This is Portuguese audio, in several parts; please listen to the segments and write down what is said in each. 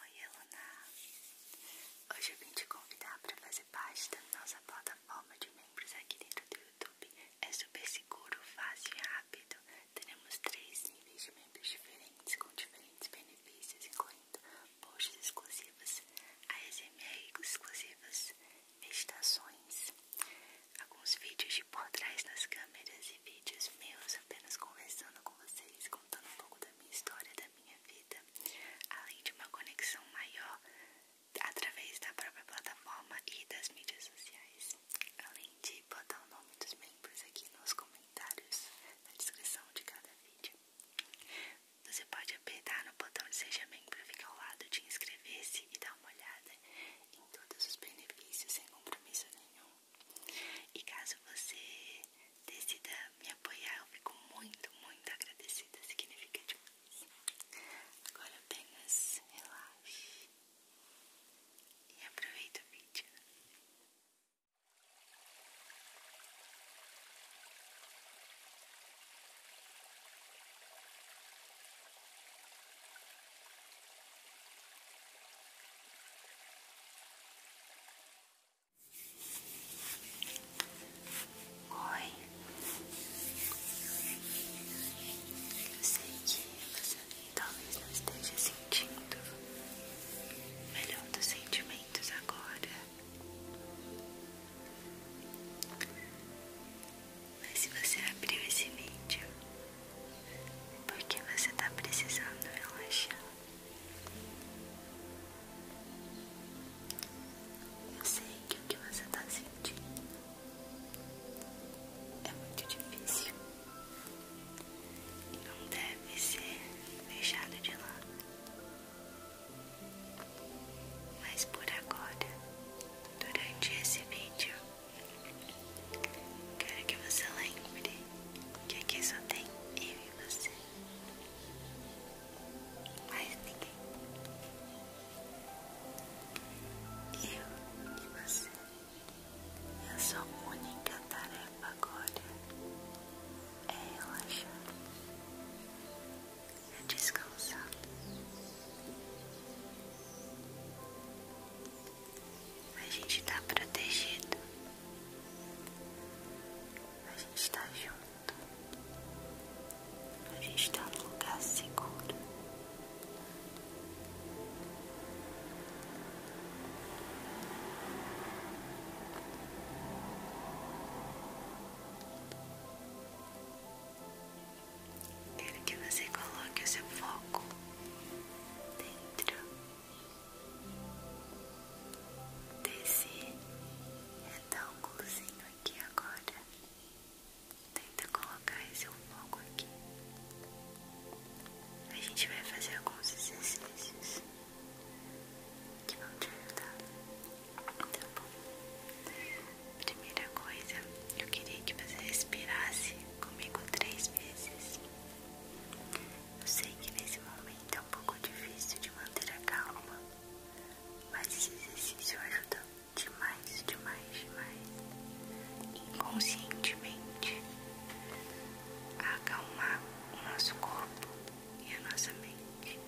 Oi, Eluna! Hoje eu vim te convidar para fazer parte da nossa plataforma de membros aqui dentro do YouTube. É super seguro, fácil e rápido. Teremos três níveis de membros diferentes com diferentes benefícios, incluindo posts exclusivos, ASMR exclusivas, meditações, alguns vídeos de por trás nas câmeras e vídeos meus apenas conversando com contando um pouco da minha história, da minha vida, além de uma conexão maior através da própria plataforma e das mídias sociais. Além de botar o nome dos membros aqui nos comentários, na descrição de cada vídeo. Você pode apertar no botão de Seja Membro, ficar ao lado de inscrever-se e dar uma olhada em todos os benefícios sem compromisso nenhum. E caso você decida me apoiar, eu fico muito, muito agradecida. Significa demais. Agora apenas relaxe e aproveita o vídeo. Oi, eu sei que você talvez não esteja sentindo o melhor dos sentimentos agora, mas se você abriu esse vídeo, é porque você está precisando relaxar. Eu sei que o que você está sentindo é muito difícil e não deve ser deixado de lado. Mas por agora, durante esse vídeo, quero que você lembre que aqui é só tem eu você. Mais ninguém. Eu e você. E a sua única tarefa agora é relaxar. É descansar. A gente tá protegido a gente está junto. A gente está no lugar seguro. Quero que você coloque o seu foco dentro Desce retângulozinho aqui agora. Tenta colocar esse fogo aqui. A gente vai fazer alguns exercícios que vão te ajudar. Tá bom? Primeira coisa, eu queria que você respirasse comigo três vezes. Eu sei que nesse momento é um pouco difícil de manter a calma, mas esse exercício ajuda demais, demais, demais, inconscientemente, a acalmar o nosso corpo e a nossa mente.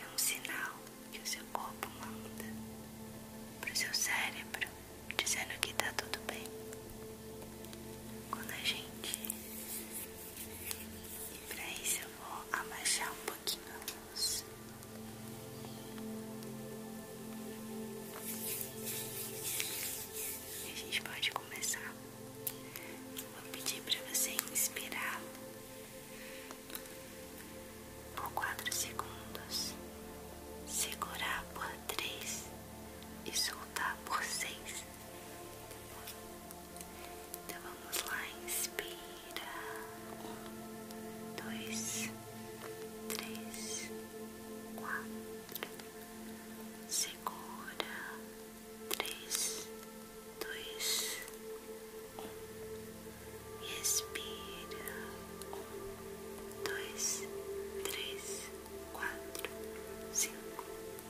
É um sinal que o seu corpo manda para o seu cérebro dizendo que está tudo bem quando a gente. E pra isso eu vou abaixar um pouquinho a luz. E a gente pode começar. Vou pedir para você inspirar por 4 segundos, segurar por 3 e soltar por 6. Então vamos lá, inspira. Um, dois, três, quatro. Segura. Três, dois, um. Respira. Um, dois, três, quatro, cinco,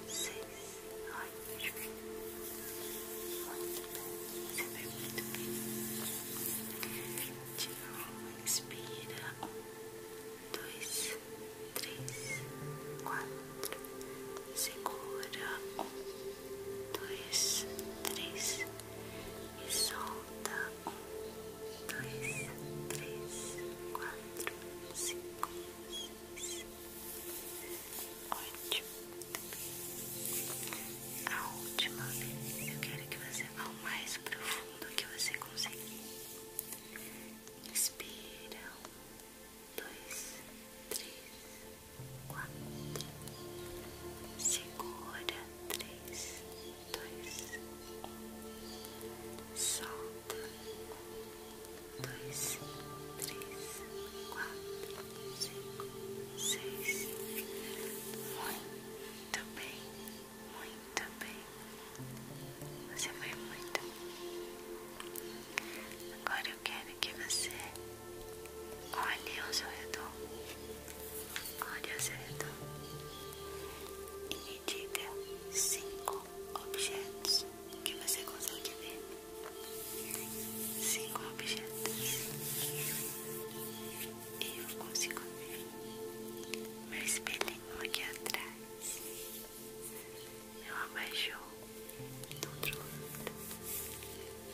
seis, oito. Muito bem, você vai muito bem. De novo, inspira. dois, três, quatro. Segura. dois, três. E solta. dois, três, quatro, cinco três. Ótimo. A última vez eu quero que você vá o mais profundo que você conseguir. Inspira. Um, dois, três, quatro. Segura. Três, dois, um. Solta um, dois, três, quatro, cinco, seis. Muito bem, muito bem. Você foi muito. Agora eu quero que você olhe ao seu redor. Olhe ao seu redor. E me diga cinco objetos que você consegue ver cinco objetos e eu consigo ver meu espelhinho aqui atrás meu abaixo do outro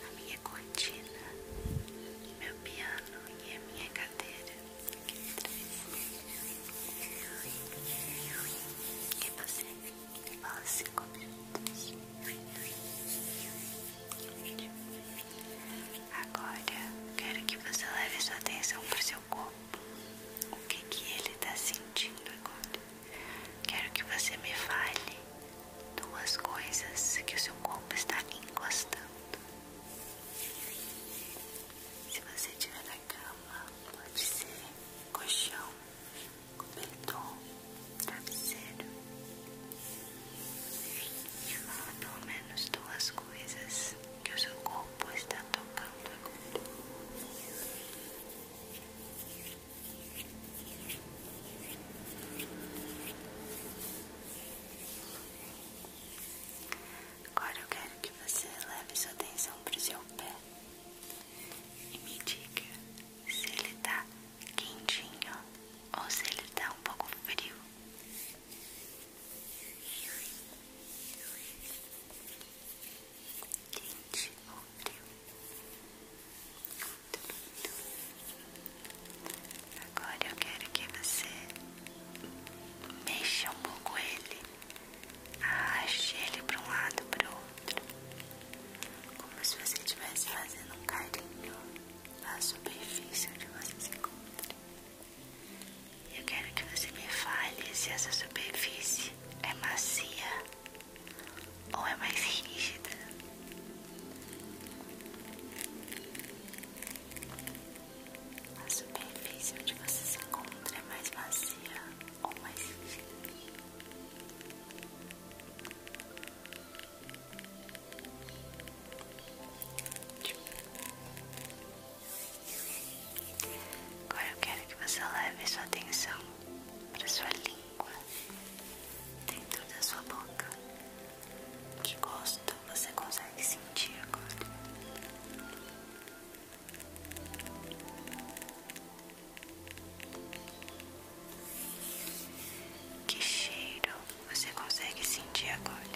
a minha cortina meu piano e a minha cadeira aqui atrás e você Após cinco minutos. Agora quero que você leve sua atenção para o seu corpo. O que que ele está sentindo agora? Quero que você me fale duas coisas que o seu corpo está encostando. Se você tiver na cama, pode ser colchão, cobertor, travesseiro. Pelo menos duas coisas que o seu corpo está tocando agora. Agora eu quero que você leve sua atenção para o seu pé e me diga se ele tá quentinho ou se ele tá um pouco frio. Quente ou frio? Agora eu quero que você mexa um pouco ele Arraste ah, ele para um lado para o outro, como se você estivesse fazendo um carinho na superfície onde você se encontra. Eu quero que você me fale se essa superfície é macia ou é mais rígida. A superfície onde você se encontra é mais macia ou mais infinito. Agora eu quero que você leve sua atenção para sua língua, dentro da sua boca. Que gosto você consegue sentir agora? Que cheiro você consegue sentir agora?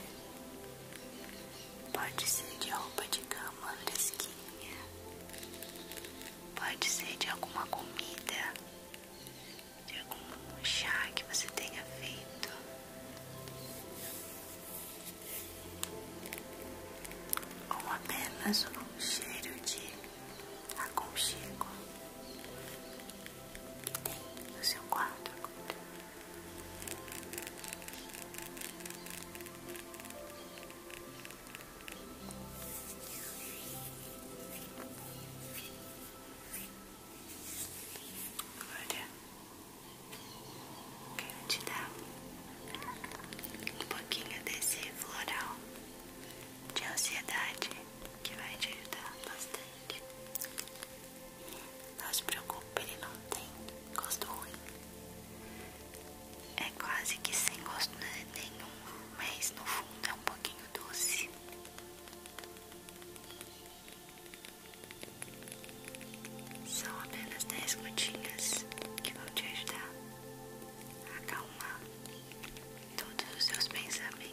Pode ser de roupa de cama fresquinha, pode ser de alguma comida, de algum chá que você tenha feito. Ou apenas um cheiro de aconchego que tem no seu quarto agora. Agora quero te dar um pouquinho desse floral de ansiedade que vai te ajudar bastante. Não se preocupe, ele não tem gosto ruim. É quase que sem gosto né, nenhum, mas no fundo é um pouquinho doce. São apenas 10 gotinhas que vão te ajudar acalmar todos os seus pensamentos.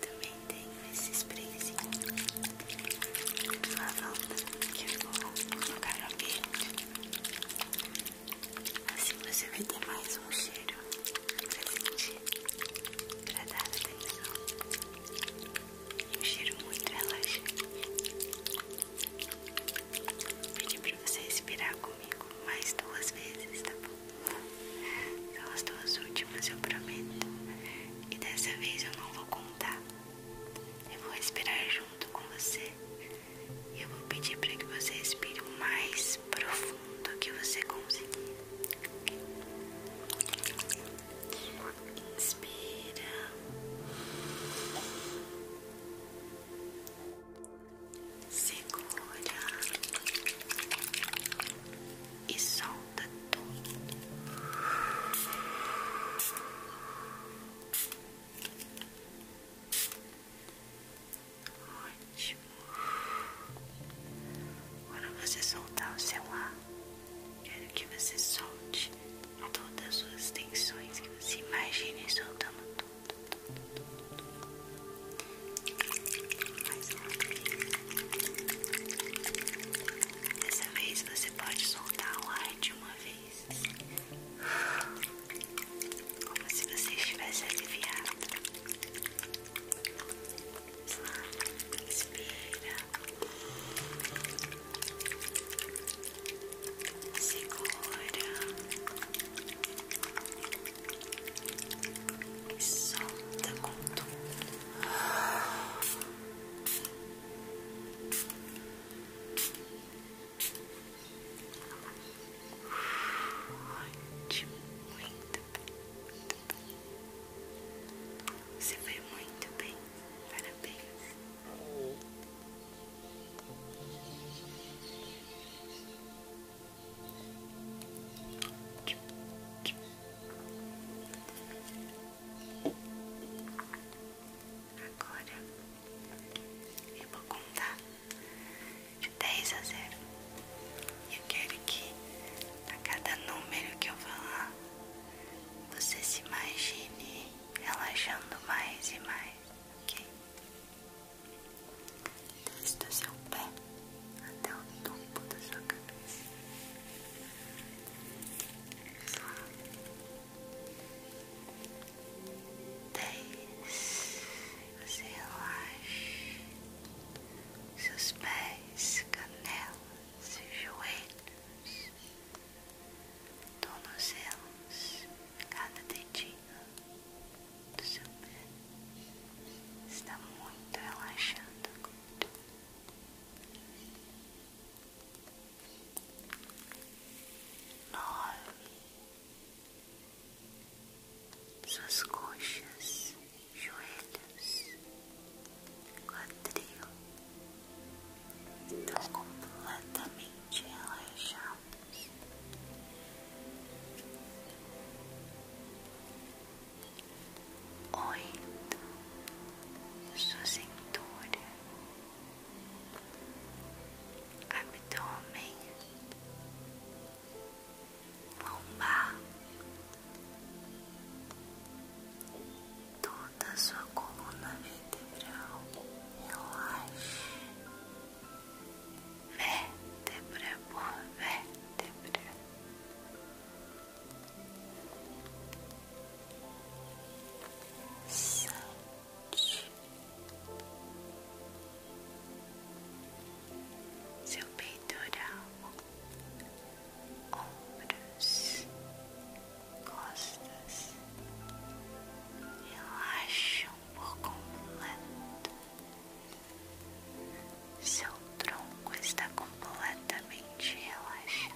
Também tenho esses sprayzinho de lavanda que eu vou colocar no cabelo. Assim você vai ter mais um cheiro pra sentir, pra dar atenção. Um cheiro muito relaxante. pedi pedir pra você respirar comigo mais duas vezes, tá bom? São as duas últimas, eu prometo. E dessa vez eu não vou contar. Eu vou respirar junto com você. Eu vou pedir para que você respire o mais profundo que você conseguir. Inspira. Segura e solta tudo. Ótimo. Quando você soltar o seu ar, quero que você solte todas as suas tensões, que você imagine soltando tudo. Mais uma vez. Dessa vez você pode soltar o ar de uma vez como se você estivesse aliviado. Inspira, segura solta com tudo. Ótimo, muito muito bem. Você foi muito bem, parabéns. Agora eu vou contar de 10 a 0. E eu quero que a cada número que eu falar, você se imagine relaxando mais e mais, ok? Desde o seu pé até o topo da sua cabeça. Só dez, você relaxa seus pés, canelas e joelhos, tornozelos, cada dedinho do seu pé está muito relaxado agora. Nove, suas coxas, joelhos, quadril estão completamente relaxados. Oito, sua cintura, abdômen, lombar, toda sua coluna vertebral, relaxe, vértebra por vértebra seu peitoral, ombros, costas relaxam por completo. Seu tronco está completamente relaxado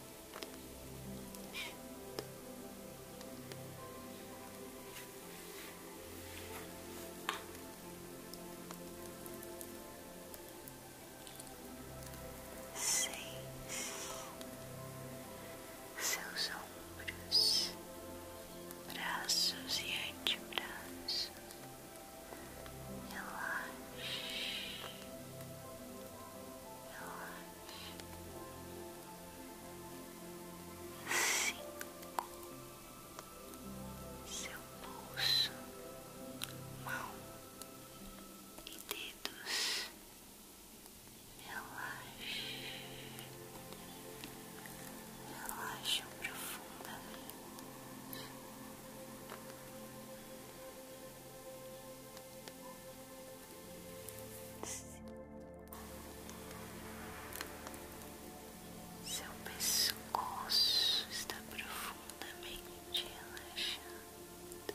seis, seus ombros, braços e antebraços, relaxe, relaxe, cinco seu pulso, mão e dedos. Relaxe, relaxe profundamente. Seu pescoço está profundamente relaxado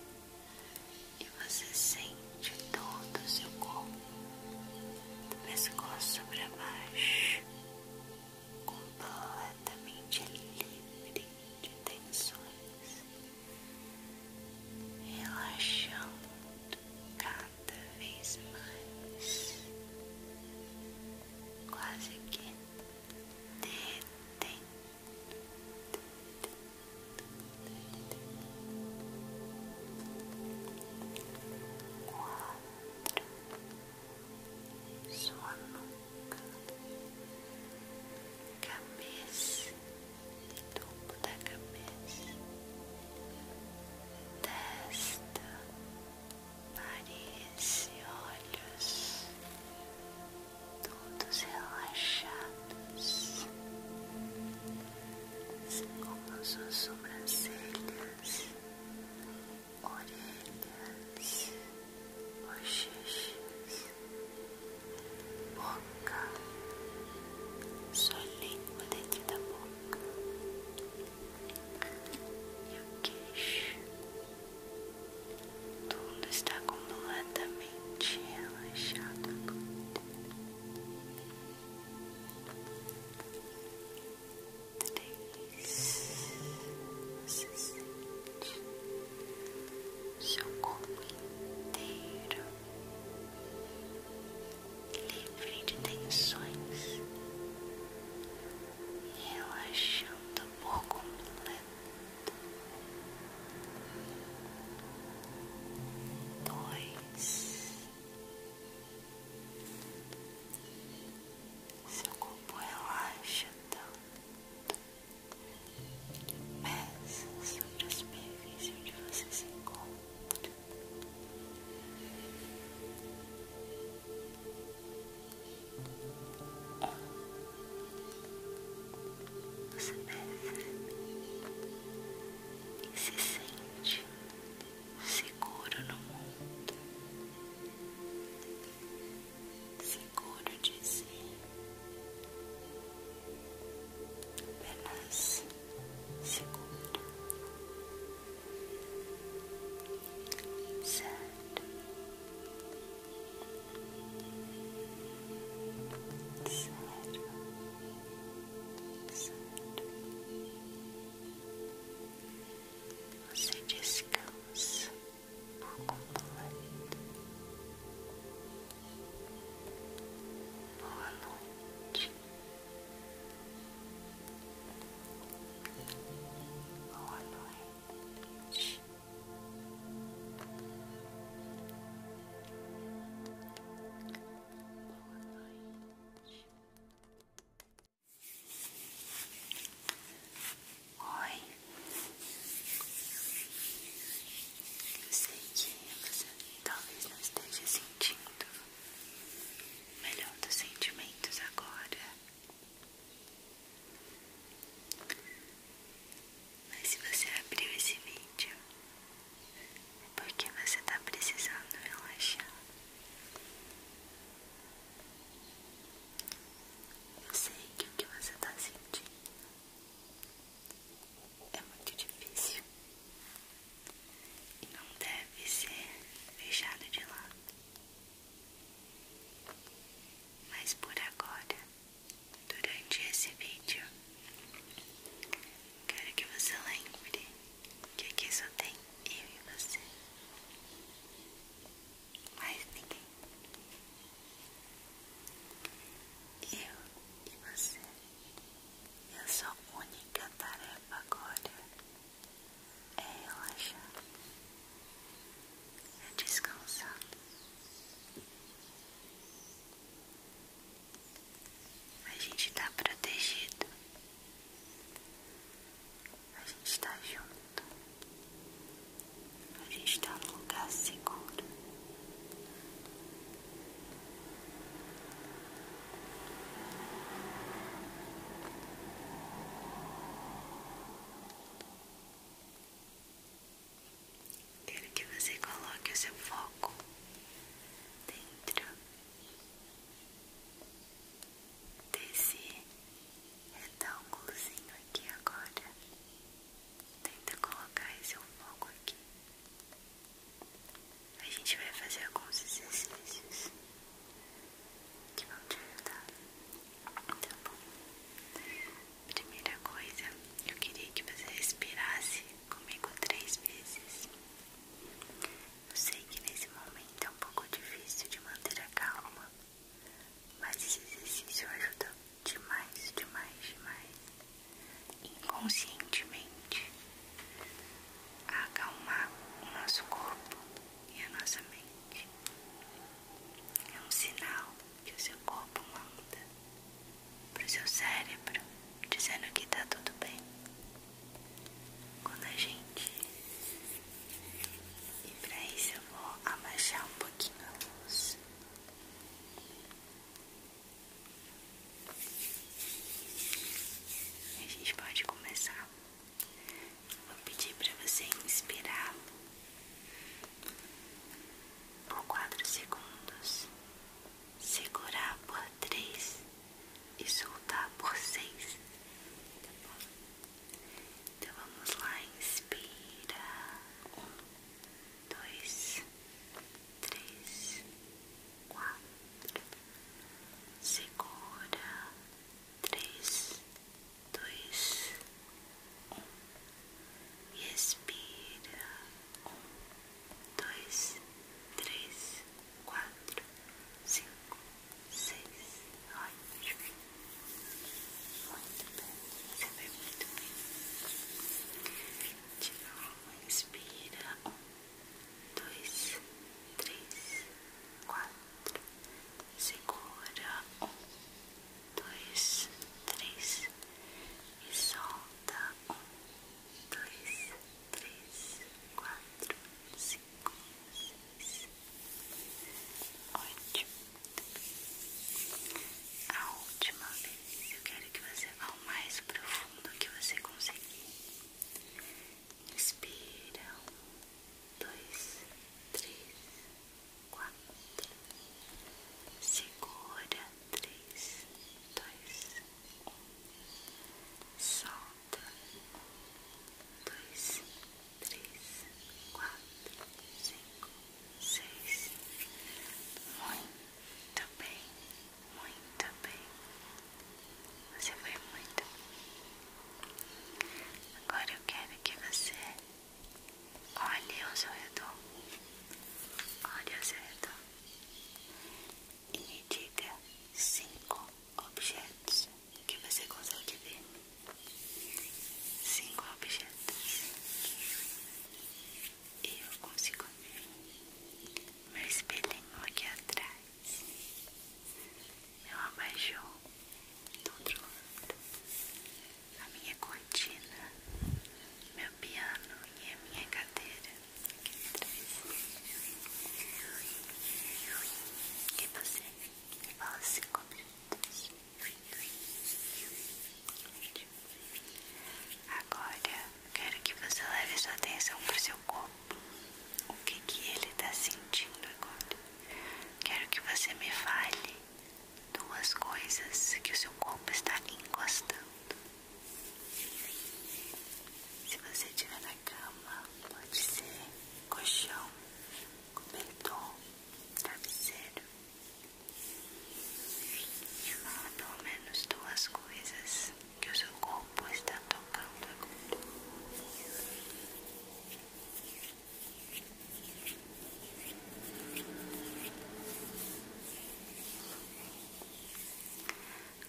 e você sente todo o seu corpo, do pescoço para baixo, completamente livre de tensões, relaxando cada vez mais, quase que detém. Quatro, sua nuca, cabeça, topo da cabeça, testa, nariz e olhos, todos relaxados, assim como suas sobrancelhas, orelhas, bochechas, boca, sua língua dentro da boca e o queixo. Tudo está completamente relaxado Três, você sente seu corpo inteiro livre de tensões e relaxando por completo. Dois, seu corpo relaxa tanto, pesa sobre a superfície onde você se encontra. Você percebe e se sente seguro no mundo, seguro de si. Apenas seguro. Sad. Sad. Sad. Você descansa por completo. Boa noite. Boa noite. Oi. Eu sei que você talvez não esteja sentindo melhor dos sentimentos agora. Mas se você abriu esse vídeo, é porque você está precisando relaxar. Eu sei que o que você está sentindo é muito difícil e não deve ser deixado de lado. Mas por agora, durante esse vídeo, quero que você lembre que aqui só tem eu e você. Mais ninguém. Eu e você. E a sua única tarefa agora é relaxar, é descansar. A gente está protegido, a gente está junto, a gente está num lugar seguro. Quero que você coloque o seu foco dentro desse retângulozinho aqui agora. Tenta colocar esse foco aqui. A gente vai fazer alguns exercícios que vão te ajudar, tá bom? Primeira coisa, eu queria que você respirasse comigo três vezes. Eu sei que nesse momento é um pouco difícil de manter a calma, mas esse exercício ajuda demais, demais, demais, inconscientemente, a acalmar o nosso corpo e a nossa mente. É um sinal que o seu corpo manda para o seu cérebro, dizendo que está tudo bem. Quando a gente. E para isso eu vou abaixar um pouquinho a luz. A gente pode começar Vou pedir para você inspirar por 4 segundos, segurar por 3 e soltar por 6. Tá bom? Então vamos lá, inspira. 1, 2, 3, 4. Segura. 3 dois, um, e expira, um, dois, três, quatro, cinco, seis, ótimo, muito bem, você vai muito bem, de novo, expira, um, dois, três, quatro, segura um, dois, três e solta um, dois, três, quatro, cinco, seis, ótimo. A última vez eu quero que você vá o mais profundo que você conseguir. Inspira. dois, três, quatro. Segura. Três, dois, um. Solta. dois, três, quatro, cinco, seis. Muito bem, muito bem. Você foi muito bem. Agora eu quero que você olhe ao seu redor. Olhe ao seu redor. E me diga cinco objetos que você consegue ver. Cinco objetos. e Eu consigo ver meu espelhinho aqui atrás meu abaixou do outro lado a minha cortina, meu piano e a minha cadeira E você? Fala cinco assim minutos. Agora quero que você leve sua atenção para seu corpo. O que, que ele está sentindo agora? Quero que você me fale duas coisas que o seu corpo está encostando. Se você estiver na cama, pode ser colchão, cobertor, travesseiro. Me fala pelo menos duas coisas que o seu corpo está tocando agora.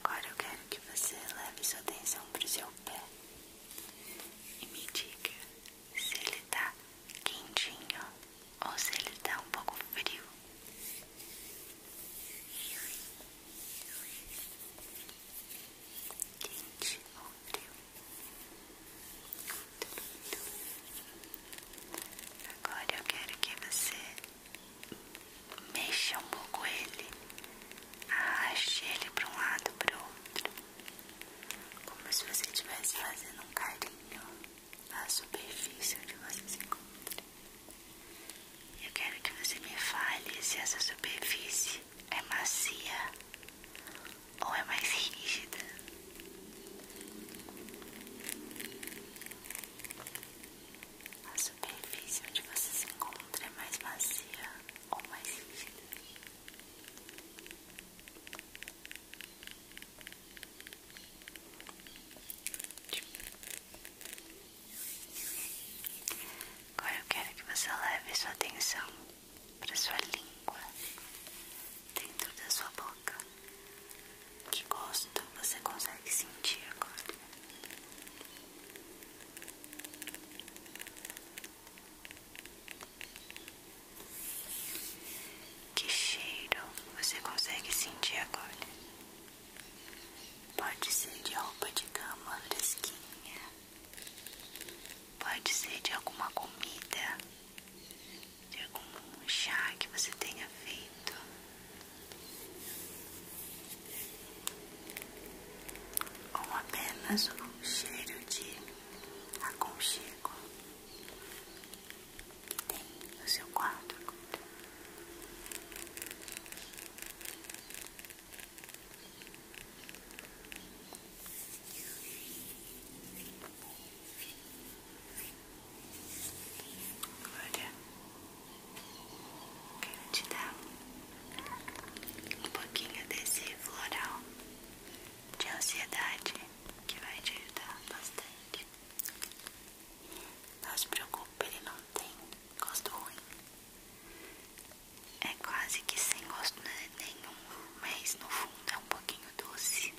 Agora eu quero que você leve sua atenção para o seu pé e me diga se ele está quentinho ou se ele está um pouco frio. Quente ou frio? Agora eu quero que você mexa um pouco ele, arraste ele para um lado para o outro, como se você estivesse fazendo um carinho na superfície onde você se encontra. Eu quero que você me fale se essa superfície é macia ou é mais rígida? A superfície onde você se encontra é mais macia ou mais rígida? Agora eu quero que você leve sua atenção para sua língua dentro da sua boca. Que gosto você consegue sentir agora? Que cheiro você consegue sentir agora? Pode ser de roupa de cama fresquinha Pode ser de alguma comida, de algum chá que você tenha feito. Ou apenas o cheiro de aconchego que tem no seu quarto. Agora quero te dar um pouquinho desse floral de ansiedade que vai te ajudar bastante. Não se preocupe, ele não tem gosto ruim. É quase que sem gosto né? nenhum, mas no fundo é um pouquinho doce.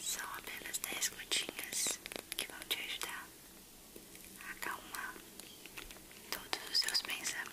São apenas 10 gotinhas que vão te ajudar a acalmar todos os seus pensamentos.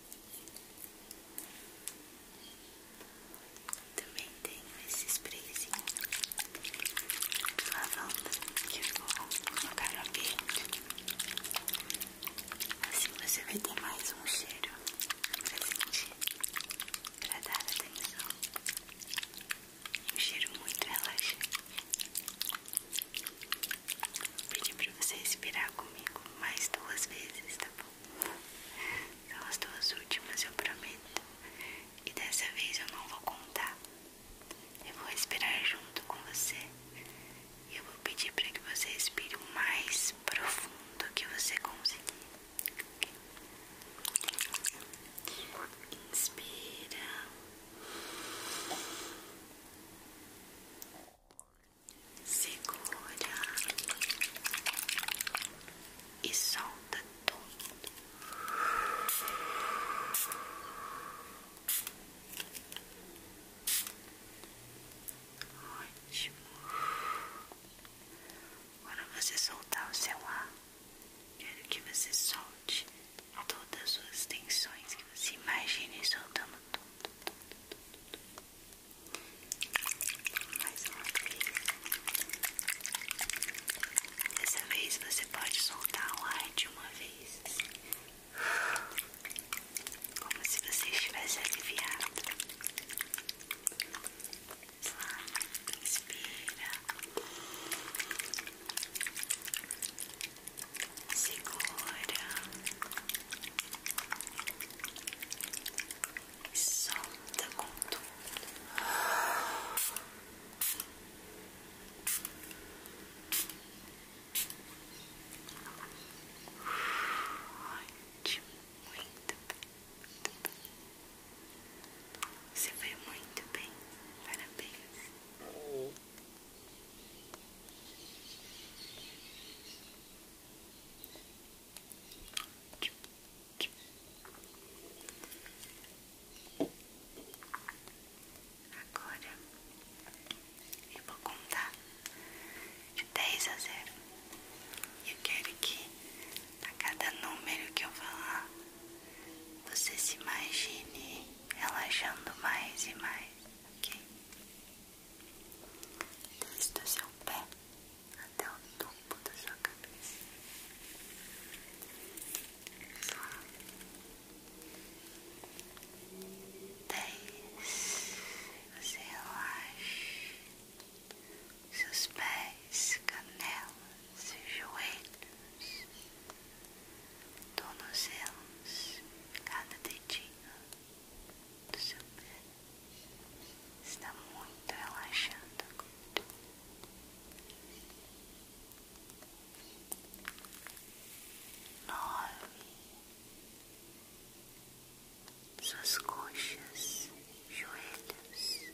Também tenho esse sprayzinho de lavanda que eu vou colocar no ambiente. Assim você vai ter mais um cheiro pra sentir, pra dar atenção. Um cheiro muito relaxante pedir pra você respirar comigo mais duas vezes, tá bom? São as duas últimas, eu prometo. E dessa vez eu não vou contar. Eu vou respirar junto com você. E eu vou pedir para que você respire o mais profundo que você conseguir. Okay? Inspira segura e solta tudo. Ótimo. Quando você soltar o seu ar, quero que você solte todas as suas tensões, que você imagine soltando tudo, mais uma vez. Dessa vez você pode soltar o ar de uma vez. Assim. Como se você estivesse aliviado. Inspira segura e solta com tudo. Ótimo, muito bem, Você foi muito bem, parabéns. Agora eu vou contar de 10 a 0. Eu quero que a cada número que eu falar, você se imagine relaxando mais e mais, ok? desde o seu pé até o topo da sua cabeça. Dez, você relaxa seus pés, canelas e joelhos, tornozelos, cada dedinho do seu pé está muito relaxado agora. Nove, suas coxas, joelhos,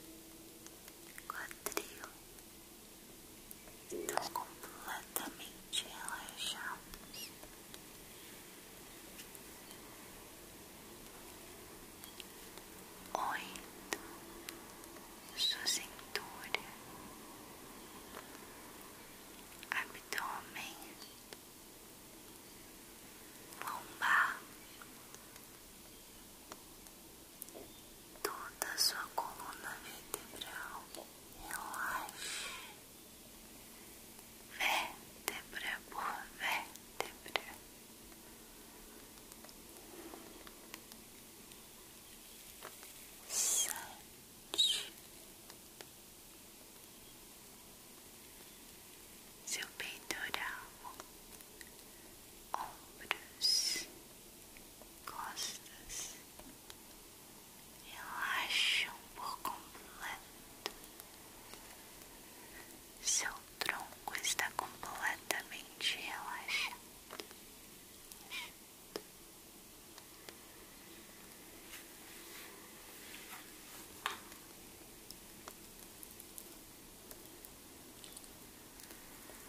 quadril estão completamente te relaxarmos. Oito, sua cintura, abdômen, lombar, toda sua coluna vertebral relaxa vértebra por vértebra. Sete. Seu peitoral, ombros, costas, relaxam por completo. Seu tronco está completamente relaxado.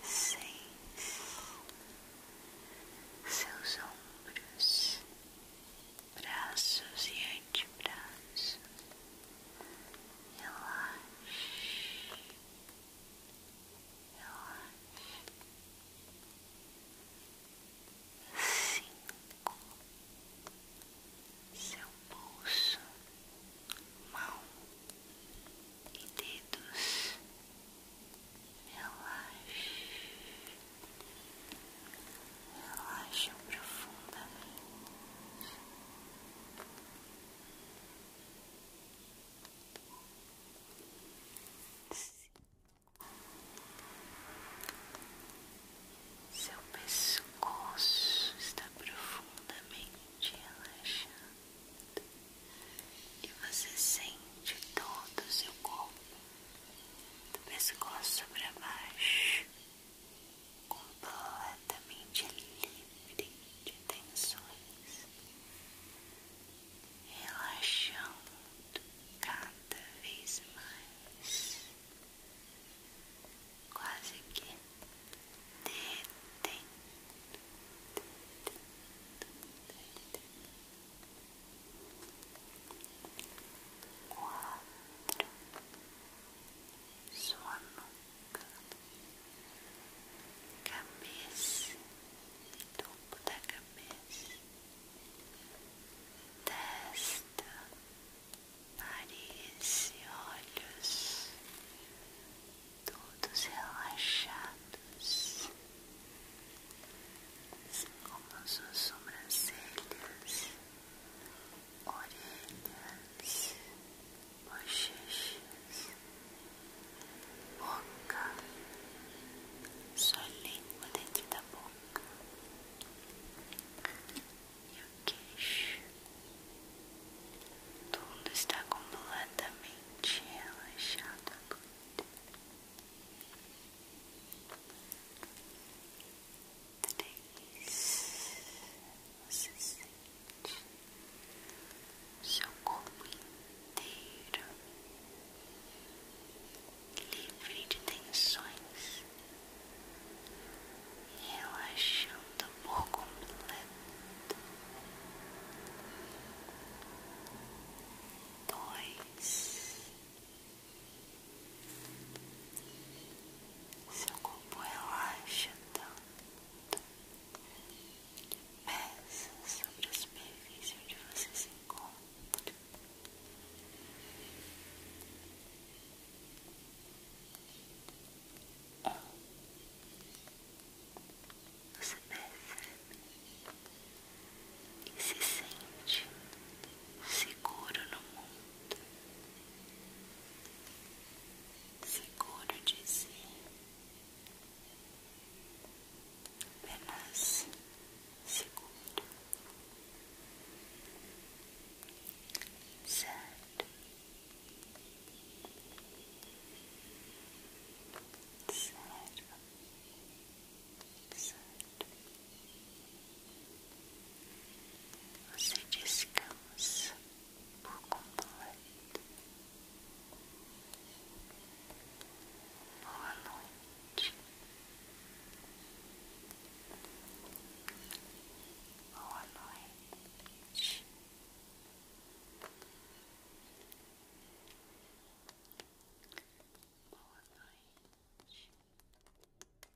Seis, seus ombros, braços e antebraços, relaxe, relaxe, cinco, seu pulso, mão e dedos, relaxe. Relaxa profundamente. Seu pescoço está profundamente relaxado e você sente todo o seu corpo do pescoço para baixo completamente livre de tensões, relaxando cada vez mais, quase que detendo. Quatro, sua nuca, cabeça, topo da cabeça, testa, nariz e olhos, todos relaxados, assim como suas sobrancelhas orelhas, bochechas, boca, sua língua dentro da boca e o queixo. Tudo está completamente relaxado três, você sente seu corpo inteiro livre de tensões, relaxando o por completo. Dois. Seu corpo relaxa tanto que pesa sobre a superfície onde você se encontra. Você perfeita e se sente seguro no mundo seguro de si, apenas seguro, certo, certo, você descansa por completo. Boa noite. Boa noite. Boa noite.